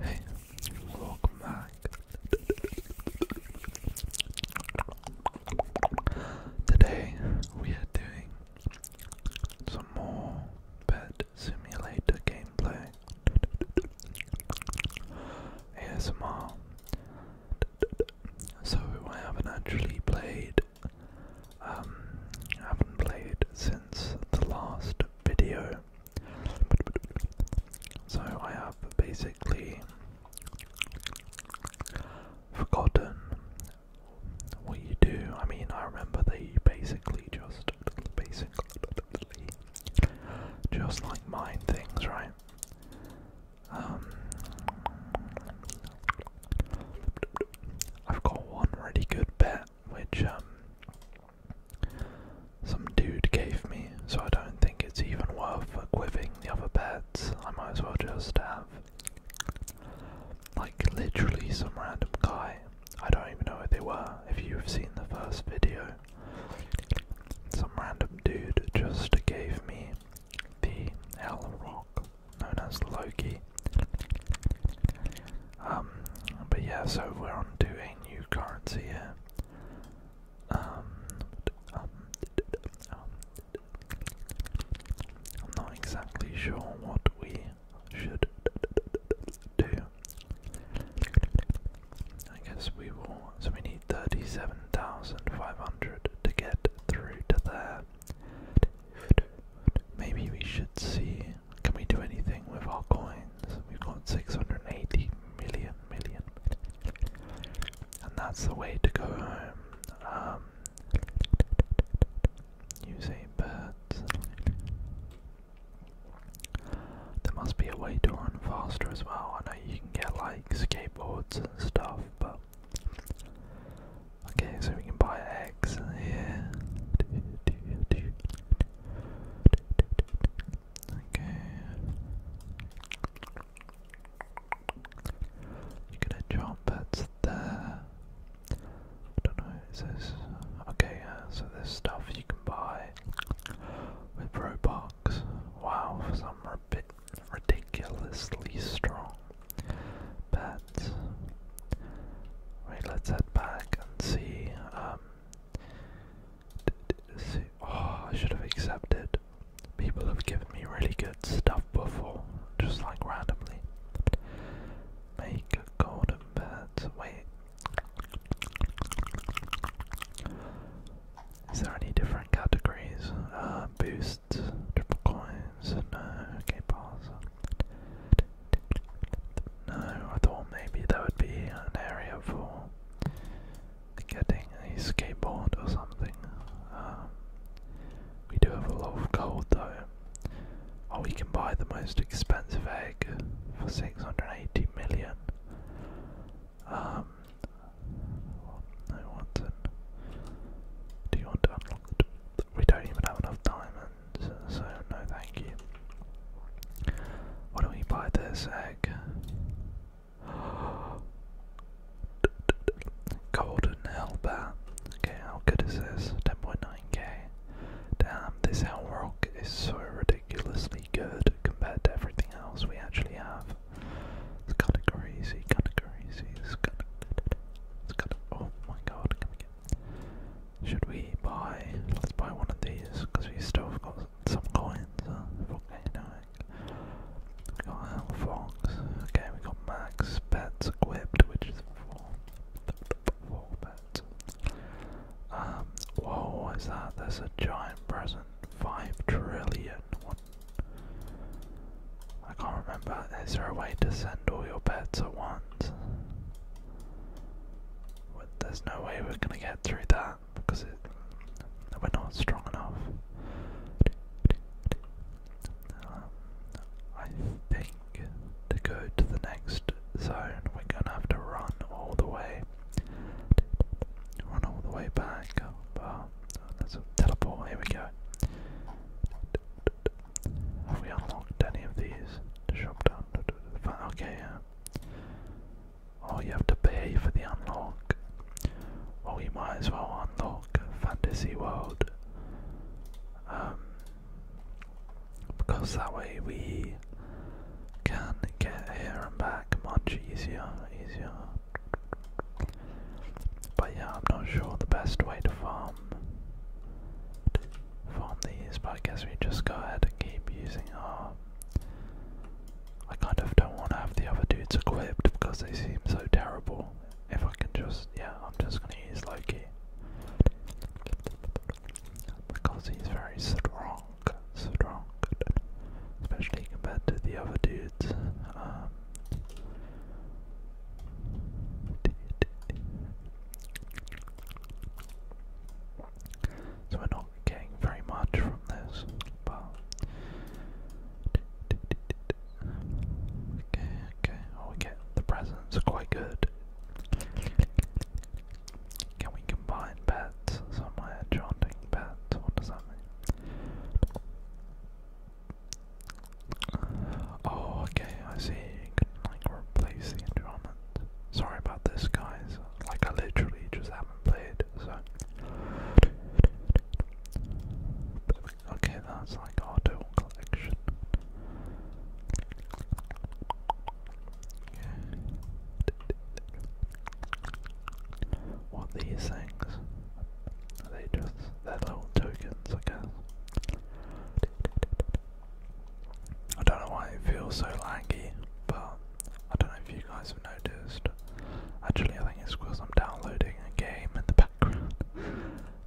Hey, welcome back. Today we are doing some more Pet Simulator gameplay. ASMR. So I haven't actually played um, haven't played since the last video. So I have basically forgotten what you do. I mean, I remember that you basically just, basically, just like mine things, right? Um, I've got one really good bet which um, some dude gave me, so I don't think it's even worth equipping the other pets. I might as well just have, like, literally some random guy. I don't even know who they were, if you've seen the first video. Some random dude just gave me the Hell Rock, known as Loki. Um, but yeah, so we're on a new currency here. Um, um, I'm not exactly sure what we should do. I guess we will. So we need 37,500 to get through to there. Maybe we should see. Can we do anything with our coins? We've got 680 million million. And that's the way to go home. Um, use a There must be a way to run faster as well. I know you can get like skateboards and stuff, but Okay, so we can buy eggs here. Okay. You get a job that's there. I don't know, is this okay, so there's stuff you can buy with Robux. Wow, for some ridiculously strong. Bad that. Wait, let's head back and um, see. Oh, I should have accepted. People have given me really good stuff before, just like randomly. Make a golden bed. Wait. Is there any different categories? Uh, boosts, triple coins, no, okay, pass. No, I thought maybe there would be an area for getting a skateboard or something. Um, we do have a lot of gold though. Oh, we can buy the most expensive egg for 680 million. Um, no, Watson. Do you want to unlock? We don't even have enough diamonds so no thank you. Why don't we buy this egg? Golden Hellbat. Okay, how good is this? 10.9k. Damn, this Hell Rock is so ridiculously good compared to everything else we actually have. It's kinda crazy, kinda crazy, it's kinda, oh my god, come again. Should we buy? Let's buy one of these because we still have got some coins. Okay, volcanoic. We got Hell Fox. Okay, we got Max Pets equipped, which is four. Four pets. Um. Whoa, what is that? There's a giant present. Five trillion. What? I can't remember. Is there a way to send all your pets at once? there's no way we're gonna get through that because it, we're not strong enough. Um, I think to go to the next zone, we're gonna have to run all the way, run all the way back. But oh, uh, that's teleport. Here we go. Have we unlocked any of these? Shop down. Okay, Oh, you have to pay for the unlock. Well, we might as well unlock Fantasy World. Um, because that way we can get here and back much easier, easier. But yeah, I'm not sure the best way to farm from these, but I guess we just go ahead and keep using our. I kind of don't want to have the other dudes equipped because they seem so terrible. If I can just, yeah, I'm just gonna use Loki because he's very strong, strong, especially compared to the other dudes. Um, so we're not getting very much from this, but okay, okay. Oh, the presents quite good. Can we combine pets somewhere? Chanting pets. What does that mean? Oh, okay, I see. You can like replace the environment. Sorry about this, guys. Like, I literally just haven't played, so. Okay, that's like auto collection. What are these things? Are they just. they little tokens, I guess. I don't know why it feels so lanky, but I don't know if you guys have noticed. Actually, I think it's because I'm downloading a game in the background.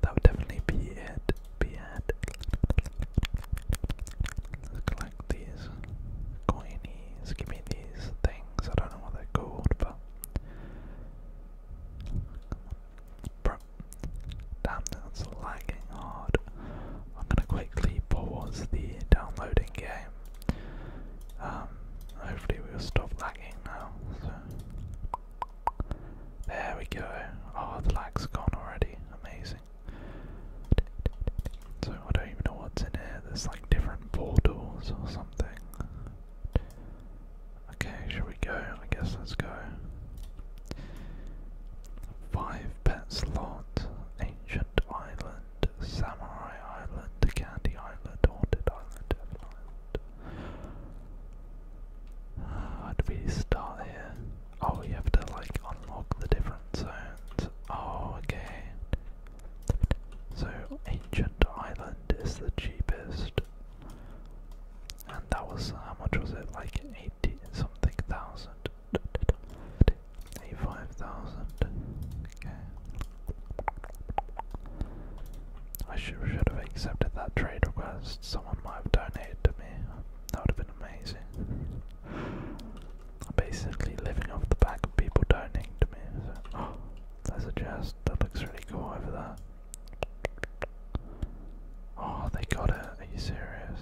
that would definitely be it. Be it. collect these coinies. Give me these things. I don't know what they're but. Damn, that's lagging hard. I'm gonna quickly pause the downloading game. Um, hopefully we'll stop lagging now. There we go. Oh, the lag's gone already. Amazing. So I don't even know what's in here. There's like different portals or something. Okay, shall we go? I guess let's go. Five pet slot, ancient island, samurai island, candy island, haunted island, devil island. How we start here? Oh, you have to like unlock the different zones. Oh, okay. So, ancient island is the cheapest. And that was, how much was it? Like 80 something thousand. 85,000. Okay. I should, should have accepted that trade request. Someone might have donated to me. That would have been amazing. I'm basically living off the back of people donating to me. So, oh, there's a chest that looks really cool over there. Oh, they got it. Are you serious?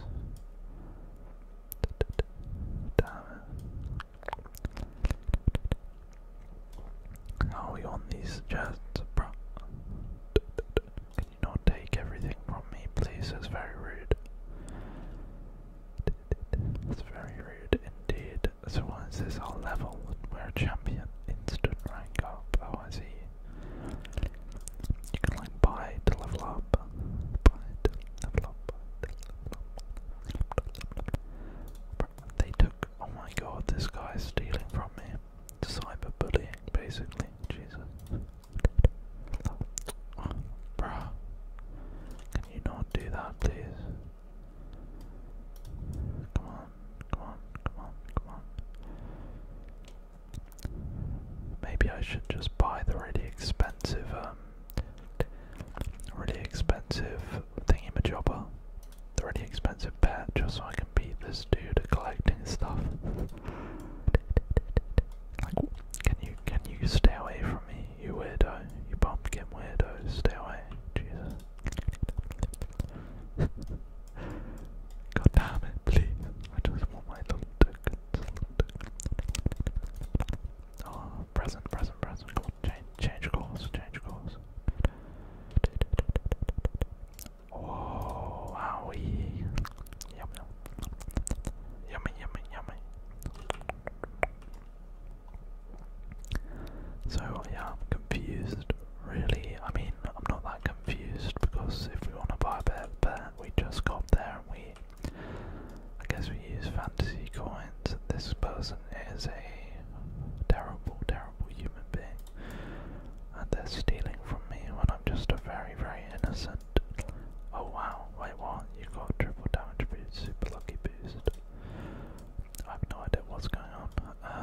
How are we on these chests, bro? Can you not take everything from me, please? That's very rude. That's very rude indeed. So what is this? Our level? We're champion. Instant rank up. Oh, I you can like buy to level up. They took. Oh my god, this guy's stealing from me. Cyberbullying, basically. Jesus. Oh, Can you not do that, please? Come on, come on, come on, come on. Maybe I should just buy the really expensive, um, really expensive thingamajobber, the really expensive pet, just so I can beat this dude at collecting stuff. can you can you stay away from me, you weirdo, you pumpkin weirdo? Stay away, Jesus. God damn it, please. I just want my little tickets. Oh, present, present, present. change, change course, change course. Oh, owie. Yum, yum. Yummy, yummy, yummy. So, I'm confused really, I mean, I'm not that confused because if we want to buy a bet, we just got there and we, I guess we use fantasy coins. This person is a terrible, terrible human being, and they're stealing from me when I'm just a very, very innocent. Oh wow, wait what? You got triple damage boost, super lucky boost. I have no idea what's going on.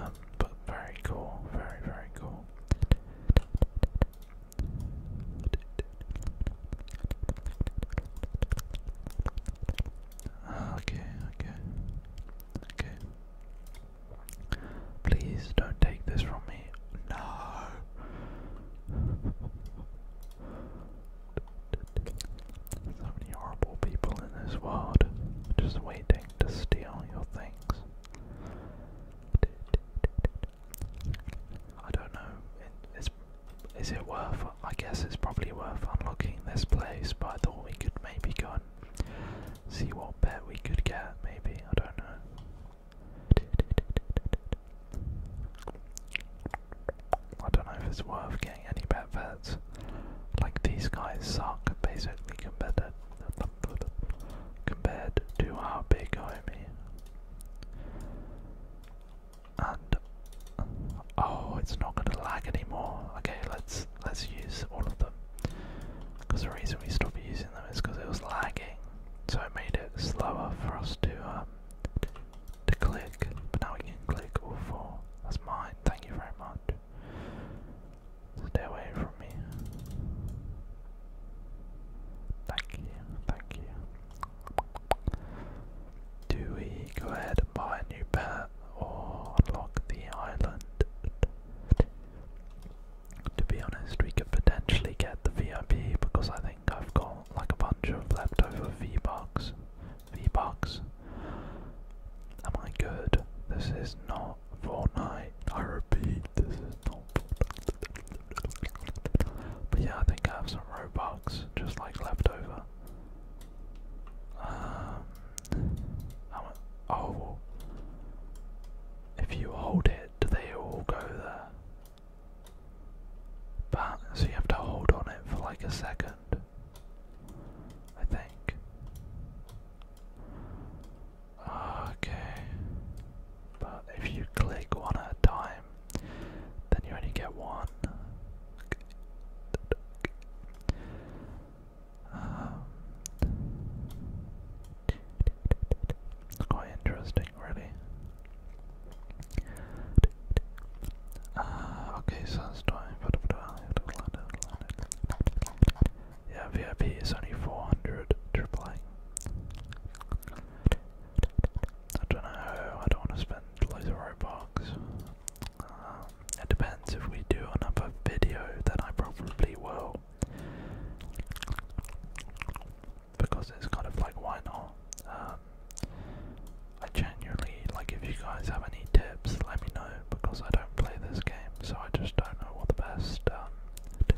Um, but very cool, very, very cool. Ah, okay, okay, okay. Please don't take this from me. No. So many horrible people in this world just waiting to steal your things. I don't know. it's, is it worth? I guess it's probably worth unlocking this place, but I thought we could maybe go and see what bet we could get. Maybe I don't know. I don't know if it's worth getting any bet bets. Like these guys suck basically compared to the compared to our big homie. And oh, it's not going to lag anymore. Okay, let's let's use all of them. Because the reason we stopped using them is because it was lagging, so it made it slower for us to um, to click. But now we can click all four. That's mine. Thank you very much. Stay away from me. Thank you, thank you. Do we go ahead and buy a new pet or unlock the island? To be honest, we could potentially get the VIP because I think I've got like a bunch of leftover V-Bucks. V-Bucks? Am I good? This is not not Fortnite. I repeat, this is not But yeah, I think I have some Robux just like left Um, Oh, if you hold it, do they all go there? But so you have to hold on it for like a second. I think. Okay. But if you click one at a time, then you only get one. Um. quite interesting, really. Uh, okay, so it's time for the yeah, VIP is only 400 AAA. I don't know, I don't want to spend loads of Robux. Um, it depends if we do another video, then I probably will. Because it's kind of like, why not? Um, I genuinely, like if you guys have any tips, let me know because I don't play this game, so I just don't know what the best, um,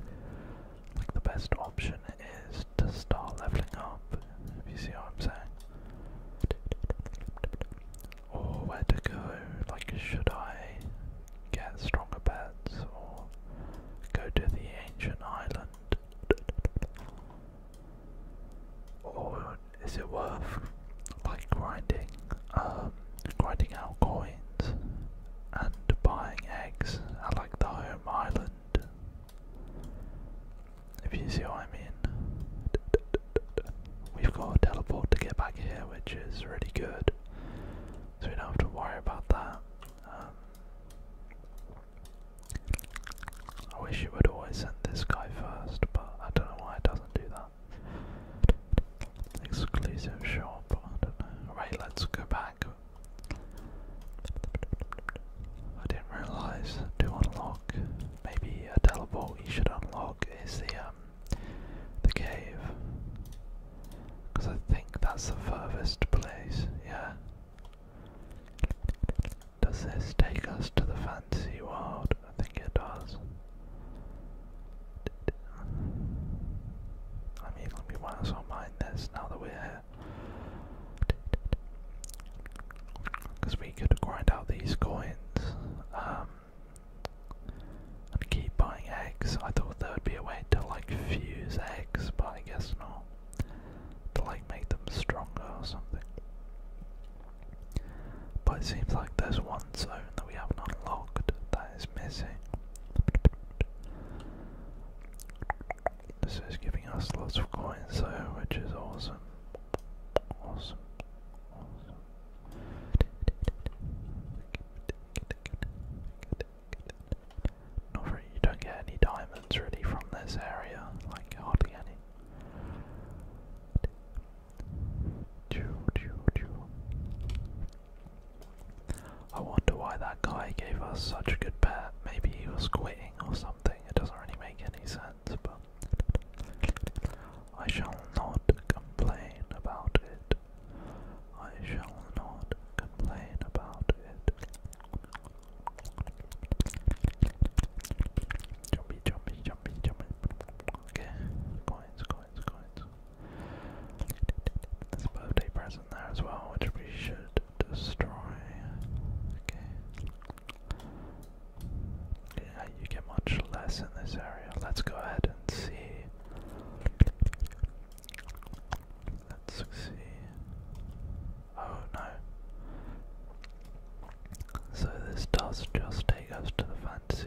like the best option is to start leveling up, you see what I'm saying. Or where to go, like should I get stronger pets or go to the ancient island? Or is it worth by grinding, um, grinding out coins and buying eggs I like the home island. If you see what I mean. We've got a teleport to get back here, which is really good. So we don't have to worry about that. Um, I wish you would always send this guy first, but I don't know why it doesn't do that. Exclusive shop, Right, let's go back. I didn't realise to unlock, maybe a teleport you should unlock is the, um, the cave. Because I think that's the furthest place, yeah. Does this take us to the fantasy world? I think it does. Let me let me once on mind this now that we're here. Because we could grind out these coins um, keep buying eggs. I thought there would be a way to like fuse eggs, but I guess not. To like make them stronger or something. But it seems like there's one zone that we haven't unlocked that it's missing. This is giving us lots of coins so which is awesome. Awesome. Awesome. Not really, you don't get any diamonds really from this area, like hardly any. I wonder why that guy gave us such a good bet. Maybe he was quitting or something. It doesn't really make any sense, but I shall not complain about it. I shall not complain about it. Jumpy, jumpy, jumpy, jumpy. Okay, coins, coins birthday present there as well, which we should destroy. Okay. you get much less in this area. Let's go ahead and see. Let's see. Oh no. So this does just take us to the fantasy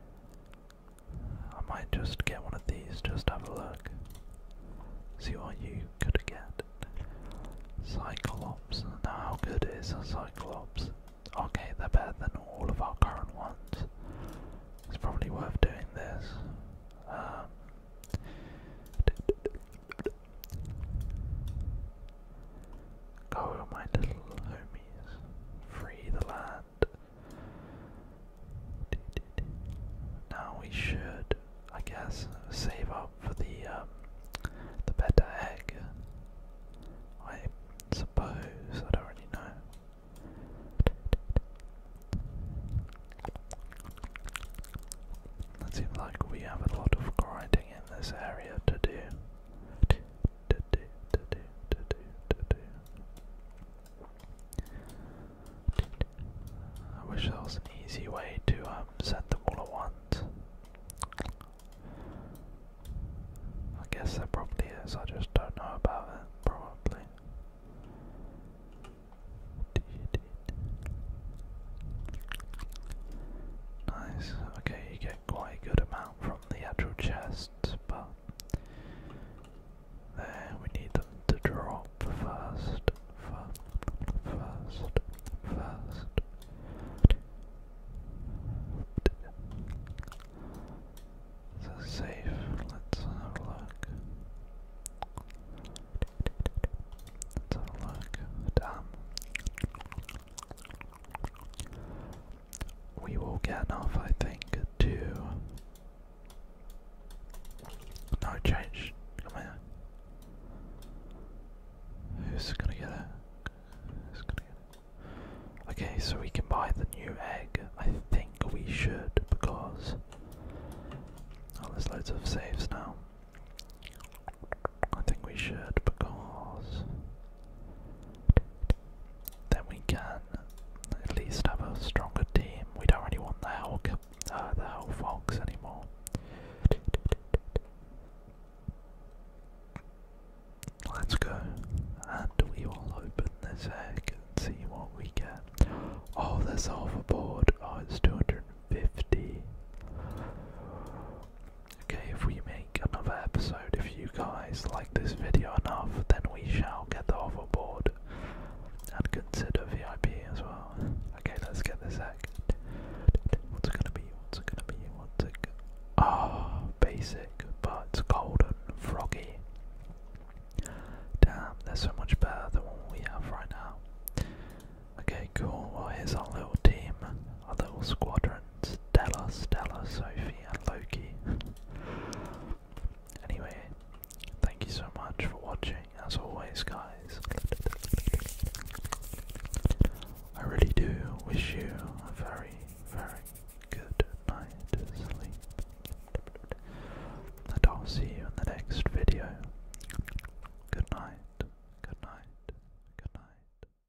I might just get one of these, just have a look. See what you could get. Cyclops. Now, how good is a Cyclops? Okay, they're better than all of our current ones. It's probably worth doing this. Um, Go, my little homies, free the land. Now we should, I guess, save up for the um, the better egg. I suppose I don't really know. That seems like we have a lot of grinding in this area to do. I wish there was an easy way to um, set them all at once. I guess there probably is, I just don't know about it, probably. Nice, okay, you go get quite a good amount from the actual chests, but there we need them to drop first, first, first, first. Is that safe? Let's have a look. Let's have a look. Damn we will get enough, I think, to. No change. Who's gonna get it? Who's gonna get it? Okay, so we can buy the new egg. I think we should because. Oh, there's loads of saves now. I think we should because then we can at least have a stronger team. We don't really want the Hulk, uh, the Hulk Fox anymore. Let's go, and we will open this egg and see what we get. Oh, this half board. Oh, it's 250. Okay, if we make another episode, if you guys like this video enough, then we shall get the hoverboard and consider VIP as well. Okay, let's get this egg. What's it gonna be? What's it gonna be? What's it? Ah, basic, but golden froggy. Damn, they so much better than what we have right now. Okay, cool. Well, here's our little team, our little squadron. Stella, Stella, Sophie, and Loki. anyway, thank you so much for watching, as always, guys. I really do wish you a very, very good night sleep. And I'll see you in the next video. Good night, good night, good night.